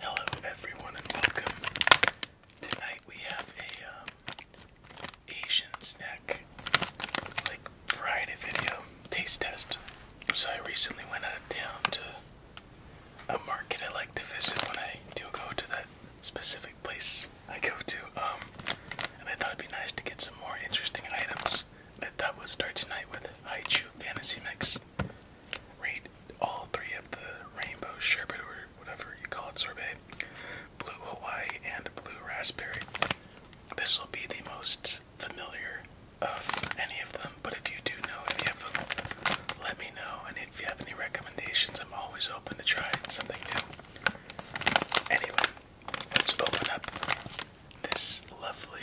Hello, everyone, and welcome. Tonight we have a um, Asian snack, like variety video taste test. So I recently went out of town to a market I like to visit when I do go to that specific place I go to, um, and I thought it'd be nice to get some more interesting items I thought we'll start tonight with Haichu Fantasy Mix. Rate all three of the rainbow sherbet or whatever you call it sorbet, blue Hawaii, and blue raspberry. This will be the most familiar of any of them, but if you do know any let me know. And if you have any recommendations, I'm always open to try something new. Anyway, let's open up this lovely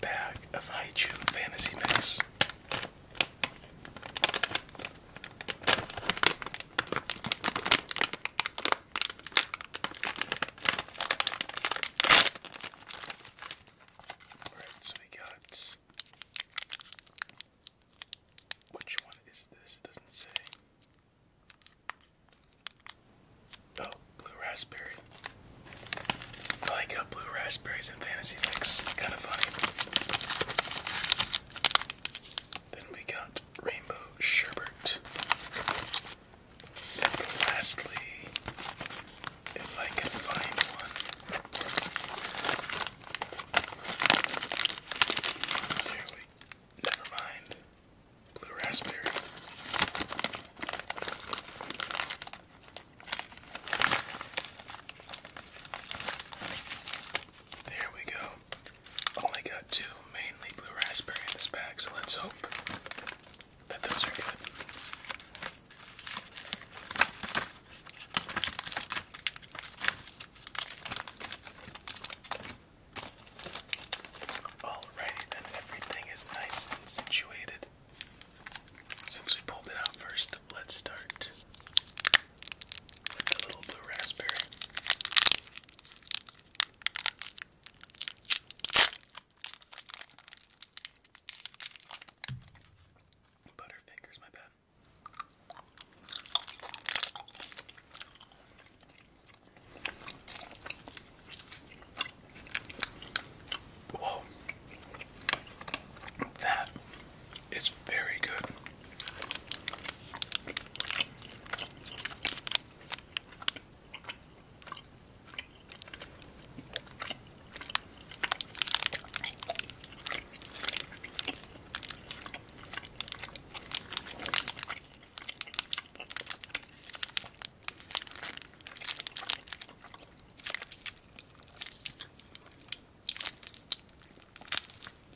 bag of Haichu Fantasy Mix. Alright, so we got. Which one is this? doesn't say. Oh, blue raspberry. I like how blue raspberries and fantasy mix. Kind of funny. Then we got rainbow sherbet. lastly, if I can find one, Never mind blue raspberry. There we go. Only got two mainly blue raspberry in this bag, so let's hope that those are good. All oh, Alrighty then, everything is nice and situated. Since we pulled it out first, let's start with the little blue raspberry. Butterfingers, my bad. Whoa. That is very good.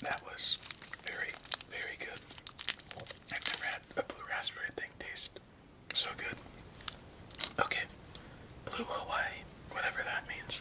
That was very, very good. I've never had a blue raspberry thing taste so good. Okay, blue Hawaii, whatever that means.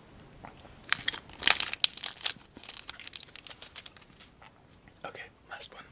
Okay, last one.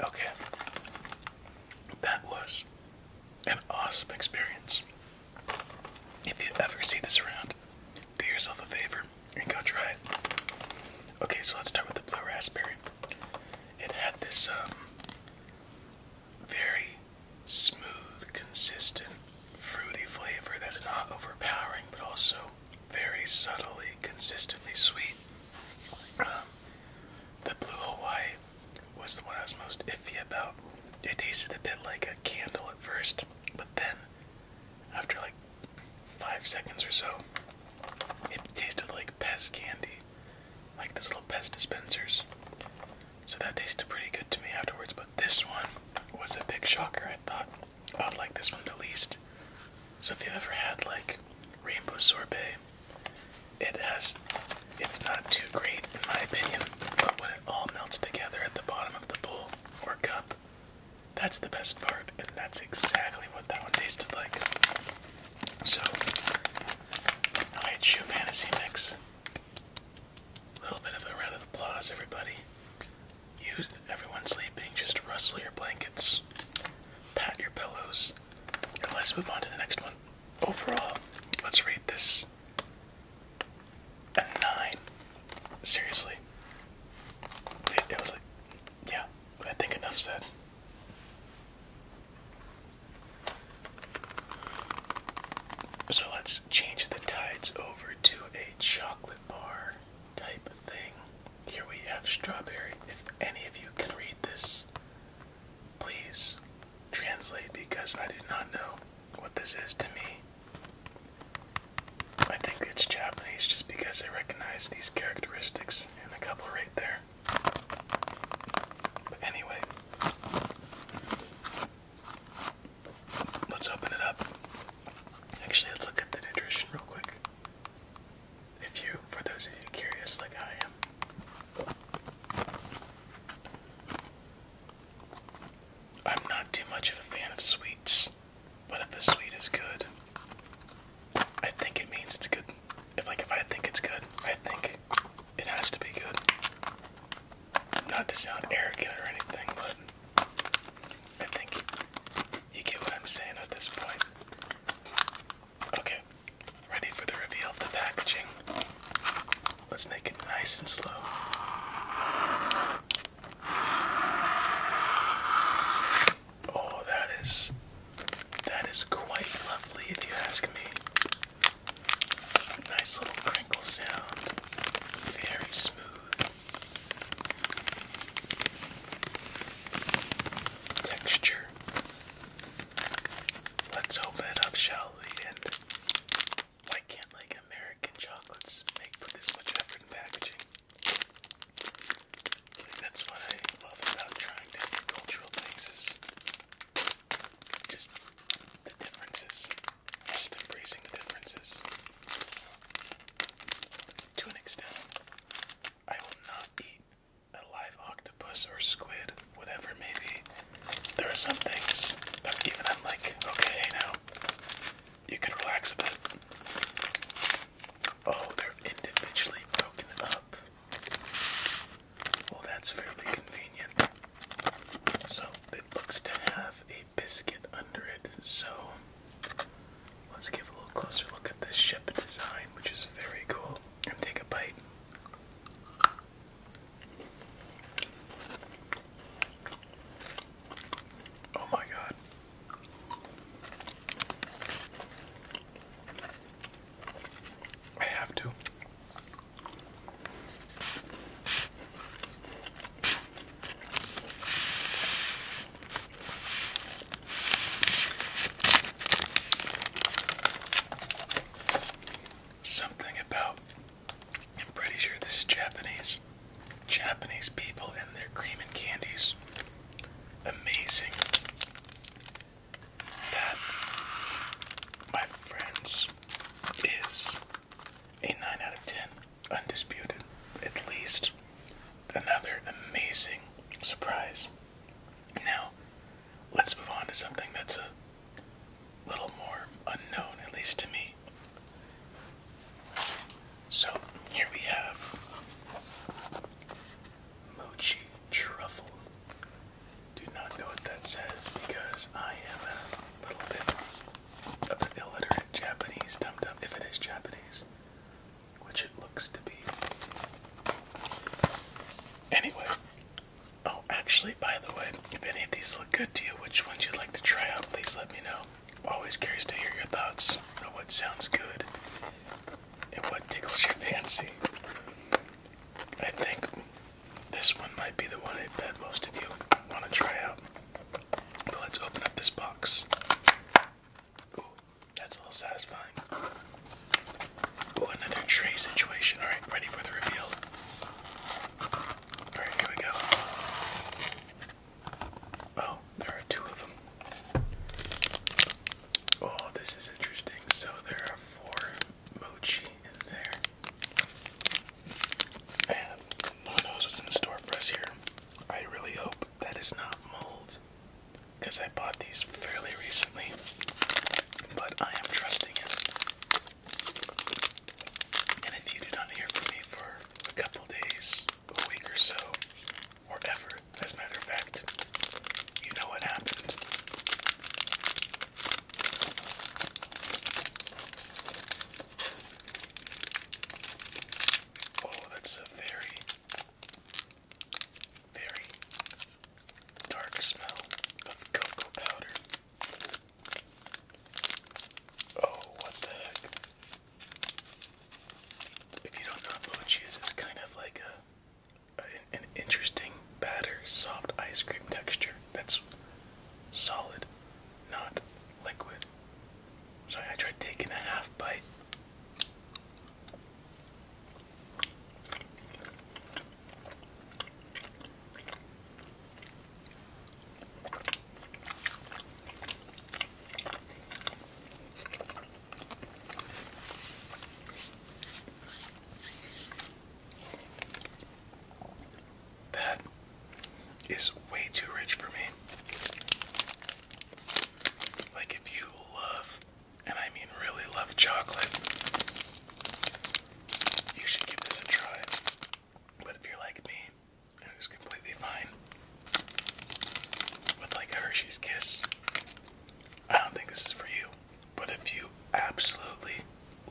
Okay, that was an awesome experience. If you ever see this around, do yourself a favor and go try it. Okay, so let's start with the blue raspberry. It had this um, very smooth, consistent, fruity flavor that's not overpowering, but also very subtly, consistently sweet. Um, the Blue Hawaii was the one I was most iffy about. It tasted a bit like a candle at first, but then, after like five seconds or so, it tasted like pest candy like these little pest dispensers. So that tasted pretty good to me afterwards, but this one was a big shocker. I thought I would like this one the least. So if you've ever had like rainbow sorbet, it has it's not too great in my opinion, but when it all melts together at the bottom of the bowl or cup, that's the best part, and that's exactly what that one tasted like. So, I had Shoe Fantasy Mix. A little bit of a round of applause, everybody. You, everyone sleeping, just rustle your blankets, pat your pillows, and let's move on to the next one. Overall, let's rate this a 9. Seriously. It, it was like, yeah, I think enough said. So let's change the tides over to a chocolate bar type thing. Here we have strawberry. If any of you can read this, please translate because I do not know what this is to me. I think it's Japanese just because I recognize these characteristics and a couple right there. But anyway, let's open it up. Actually, let's look at the nutrition real quick. If you, for those of you curious like I am, I'm not too much of a fan of sweets, but if a sweet is good, I think it means it's good. If like if I think it's good, I think it has to be good. Not to sound arrogant or anything, but I think you get what I'm saying at this point. Okay, ready for the reveal of the packaging. Let's make it nice and slow. Oh, that is that is quite lovely if you ask me. Nice little crinkle sound. Very smooth. Texture. Let's open up, shall we? why can't like American chocolates make put this much effort in packaging? that's what I love about trying different cultural things is just the differences. Just embracing the differences. To an extent, I will not eat a live octopus or squid, whatever maybe. There are some things that even I'm like, okay, now, you can relax a bit. Oh, they're individually broken up. Well, that's fairly convenient. So it looks to have a biscuit under it. So let's give a little closer look at this ship design, which is very cool. And take a bite. Oh my god. I have to. Something about, I'm pretty sure this is Japanese. Japanese people and their cream and candies. Amazing. That, my friends, is a 9 out of 10, undisputed, at least. Another amazing surprise. Now, let's move on to something that's a little more unknown, at least to me. So, here we have Mochi Truffle do not know what that says because I am a little bit of an illiterate Japanese dum dum, if it is Japanese, which it looks to be. Anyway, oh, actually, by the way, if any of these look good to you, which ones you'd like to try out, please let me know. Always curious to hear your thoughts on what sounds good and what tickles your fancy. I think this one might be the one I bet most of you want to try out. let's open up this box. Ooh, that's a little satisfying. Ooh, another tray situation. Alright, ready for the reveal. Alright, here we go. Oh, there are two of them. Oh, this is interesting. So there are four mochi in there. And who knows what's in store for us here? I really hope that is not mold. Because I bought these fairly recently. But I am trusting it. And if you do not hear from me for a couple days, a week or so, or ever, as a matter of fact, you know what happened. Oh, that's a very, very dark smell of cocoa powder. Oh, what the heck? If you don't know what mochi is, kind of like a an, interesting batter, soft ice cream texture that's solid, not liquid. Sorry, I tried taking a half bite. That is way too rich for me. Like, if you love, and I mean really love chocolate, you should give this a try. But if you're like me, who's completely fine with like Hershey's Kiss, I don't think this is for you. But if you absolutely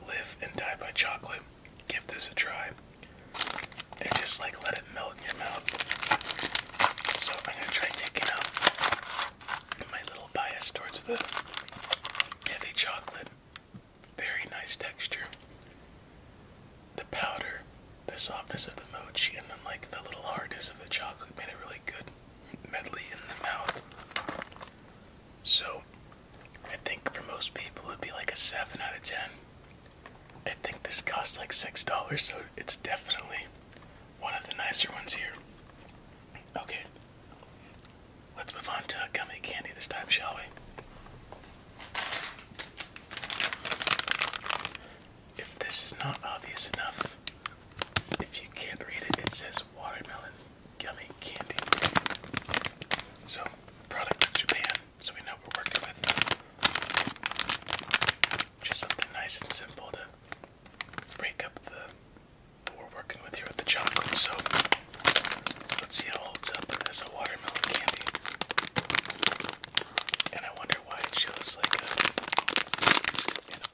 live and die by chocolate, give this a try. And just like let it melt in your mouth. So I'm gonna try taking out my little bias towards the heavy chocolate. Very nice texture. The powder, the softness of the mochi, and then like the little hardness of the chocolate made it really good medley in the mouth. So, I think for most people it'd be like a 7 out of 10. I think this costs like $6, so it's definitely one of the nicer ones here. Okay, let's move on to a gummy candy this time, shall we? If this is not obvious enough, if you can't read it, it says watermelon gummy candy. So, product of Japan, so we know we're working with. Just something nice and simple to break up the what we're working with here with the chocolate. So, let's see how it holds up as a watermelon candy. And I wonder why it shows like an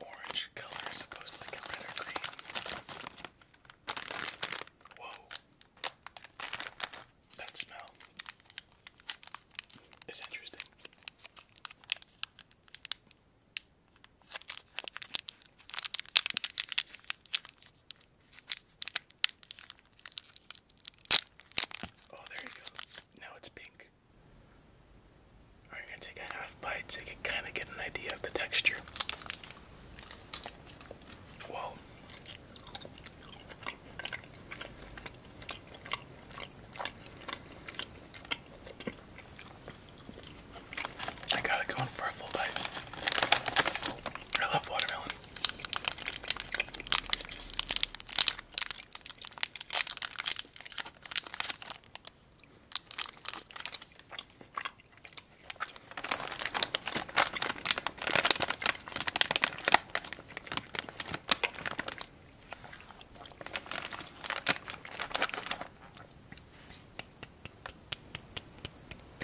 orange color as to like a red green. Whoa. That smell is interesting. Oh, there you go. Now it's pink. I'm gonna take a half bite so you can kind of get an idea of the texture. Whoa. I got it going for a full bite. I love watermelon.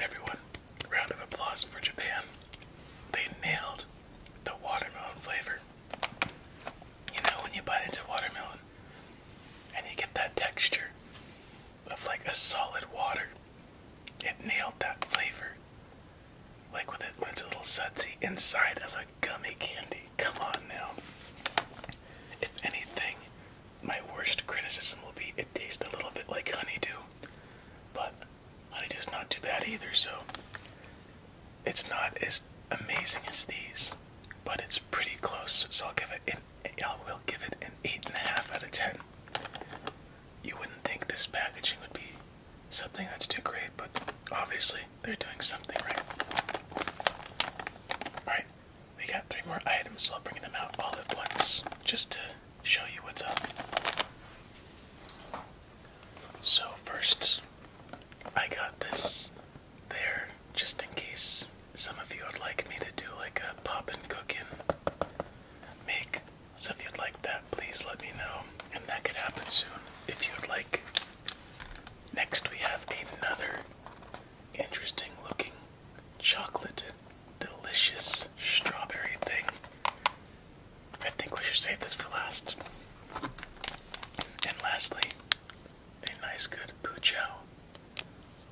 Everyone, round of applause for Japan. They nailed the watermelon flavor. You know, when you bite into watermelon, and you get that texture of like a solid water. It nailed that flavor. Like with it when it's a little sudsy inside of a gummy candy. Come on now. If anything, my worst criticism will be it tastes a little bit like Honey Dew, But Honey is not too bad either, so it's not as amazing as these. But it's pretty close, so I'll give it an I will give it an 8.5 out of 10. You wouldn't think this packaging would be something that's too great, but obviously they're doing something right. Alright, we got three more items, so I'll bring them out all at once just to show you what's up. So, first, I got this there just in case some of you would like me to do like a pop poppin' cookin' make. So if you'd like that, please let me know. And that could happen soon if you'd like. Next, we have another interesting looking chocolate delicious strawberry thing. I think we should save this for last. And lastly, a nice good poochow,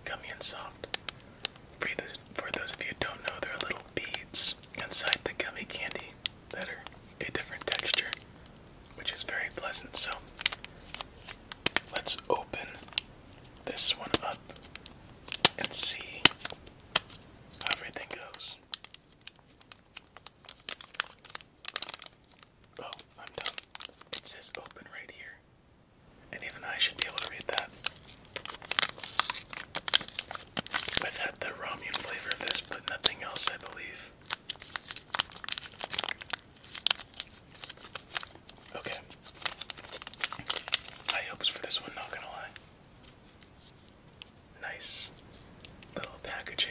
gummy and soft. For, those of you who don't know, they are little beads inside the gummy candy that are a different texture, which is very pleasant. So let's open this one up and see how everything goes. Oh, I'm done. It says open right here. And even I should be able to read that. i the ramyun flavor of this, but nothing else, I believe. Okay. High hopes for this one, not gonna lie. Nice little packaging.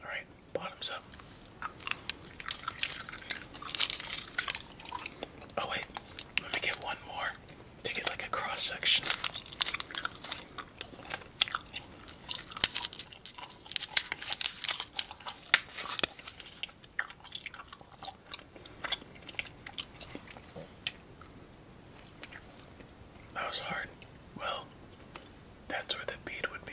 All right, bottoms up. Oh wait, let me get one more to get like a cross section. That was hard. Well, that's where the bead would be.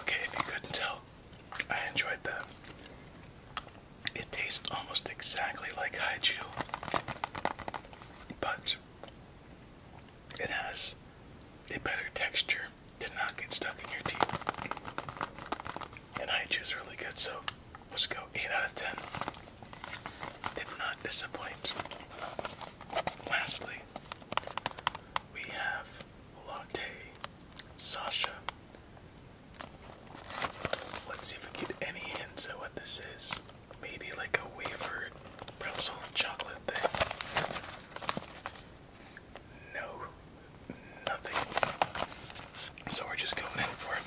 Okay, if you couldn't tell, I enjoyed that. It tastes almost exactly like Haiju, but it has a better texture to not get stuck in your teeth. And Haiju is really good, so let's go 8 out of 10. Did not disappoint. Lastly, we have Latte, Sasha. Let's see if we get any hints at what this is. Maybe like a wafered pretzel chocolate thing. No, nothing. So we're just going in for it.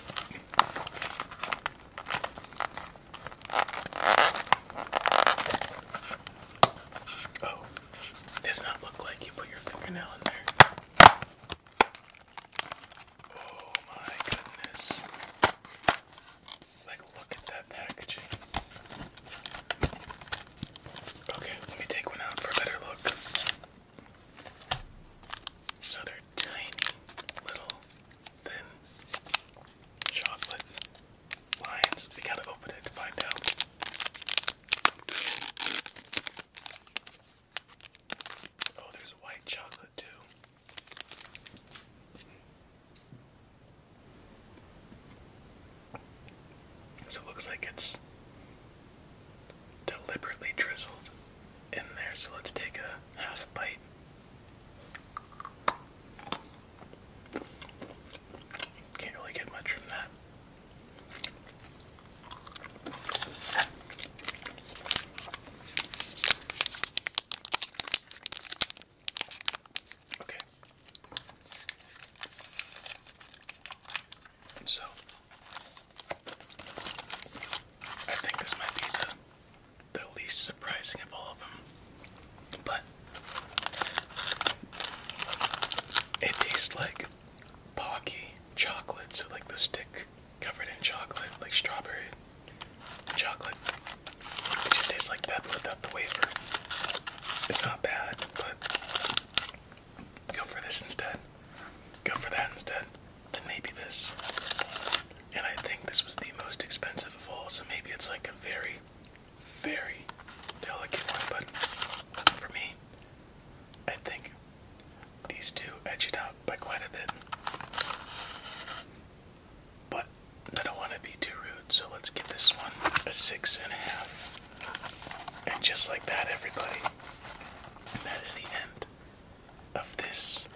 Oh, does not look like you put your fingernail in there. Oh my goodness. Like, look at that packaging. Okay, let me take one out for a better look. So they're tiny little thin chocolates lines. We gotta open it to find out. Oh, there's white chocolate too. So it looks like it's deliberately drizzled in there. So let's take a half bite. Can't really get much from that. Okay. So I think this might be the least surprising of all of them. But it tastes like pocky chocolate, so like the stick covered in chocolate, like strawberry chocolate. It just tastes like that without the wafer. It's not bad, but go for this instead. Go for that instead. Then maybe this. And I think this was the most expensive of all, so maybe it's like a very very delicate one, but for me, I think these two edge it out by quite a bit. But I don't want to be too rude, so let's give this one a six and a half. And just like that, everybody, that is the end of this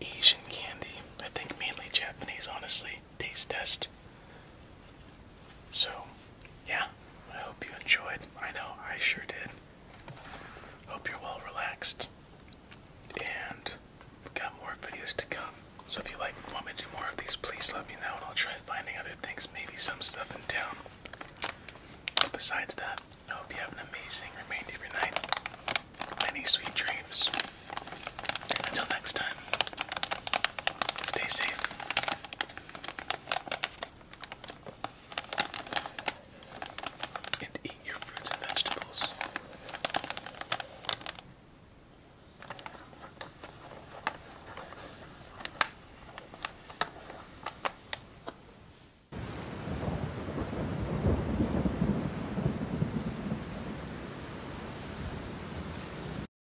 Asian candy. I think mainly Japanese, honestly taste test. So, yeah, I hope you enjoyed. I know I sure did. Hope you're well relaxed. And we've got more videos to come. So if you like want me to do more of these, please let me know and I'll try finding other things, maybe some stuff in town. But besides that, I hope you have an amazing remainder of your night. Many sweet dreams. Until next time. Stay safe. And eat your fruits and vegetables.